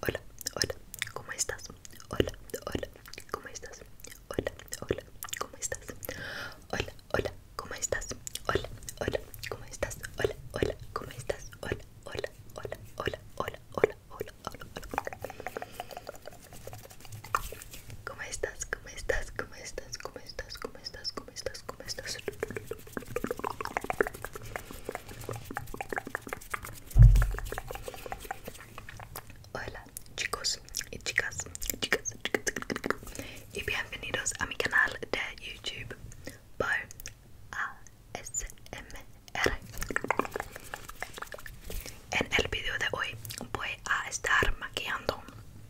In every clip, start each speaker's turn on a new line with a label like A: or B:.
A: Hola, hola, ¿cómo estás? Hola, hola, ¿cómo estás? Hola, hola, ¿cómo estás? Hola, hola, ¿cómo estás? Hola, hola, ¿cómo estás? Hola, hola, ¿cómo estás? Hola, hola, hola, hola, hola, hola, hola, hola, hola. ¿Cómo estás? ¿Cómo estás? ¿Cómo estás? ¿Cómo estás? ¿Cómo estás? ¿Cómo estás? Hola chicos y chicas, y bienvenidos a mi canal de YouTube por ASMR. En el video de hoy voy a estar maquillando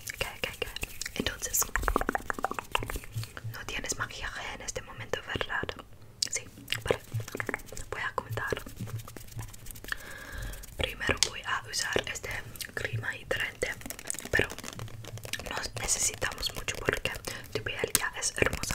A: Okay, Entonces, no tienes maquillaje en este momento, ¿verdad? Sí, vale. Voy a contar. Primero voy a usar este crema hidratante pero no necesitamos mucho porque tu piel ya es hermosa.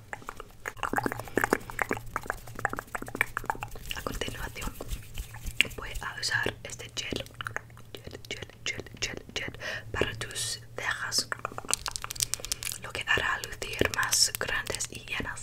A: A continuación voy a usar este gel, gel, gel, gel, gel, para tus cejas, lo que hará lucir más grandes y llenas.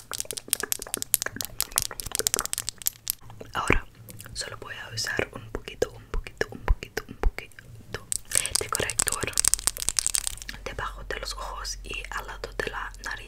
A: Ahora solo voy a usar un poquito, un poquito, un poquito, un poquito de corrector debajo de los ojos y al lado de la nariz.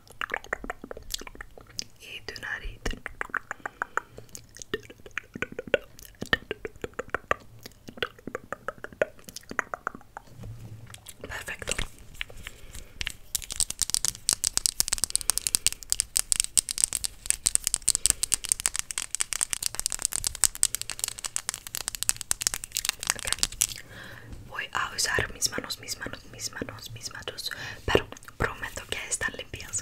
A: y perfecto voy a usar mis manos mis manos mis manos mis manos pero Prometo que están limpias.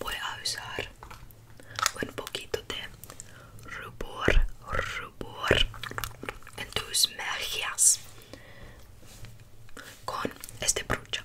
A: Voy a usar un poquito de rubor, rubor en tus mejillas con este brocha.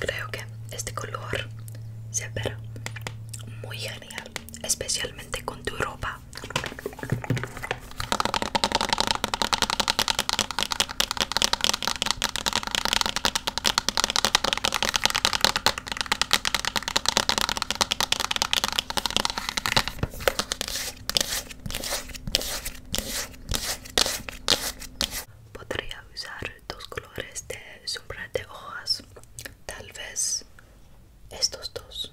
A: creo que este color se verá muy genial, especialmente con tu ropa. Podría usar dos colores de sombra de hojas, tal vez estos dos.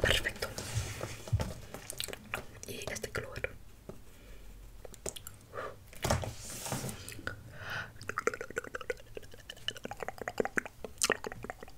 A: Perfecto. Y este color.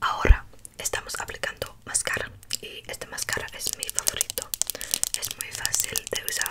A: Ahora estamos aplicando máscara y esta máscara es mi favorito. Es muy fácil de usar.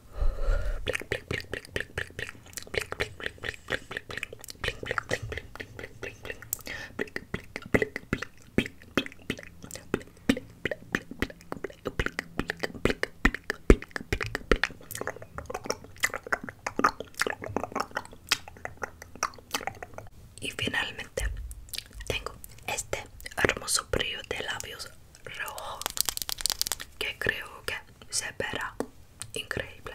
A: Y finalmente tengo este hermoso brillo de labios rojo que creo que se verá increíble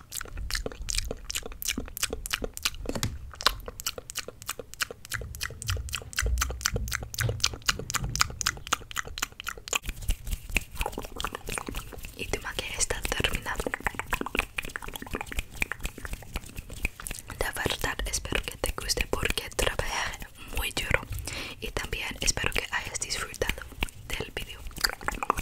A: Y tu maquillaje está terminado. De verdad espero que te guste porque trabajé muy duro y también espero que hayas disfrutado del vídeo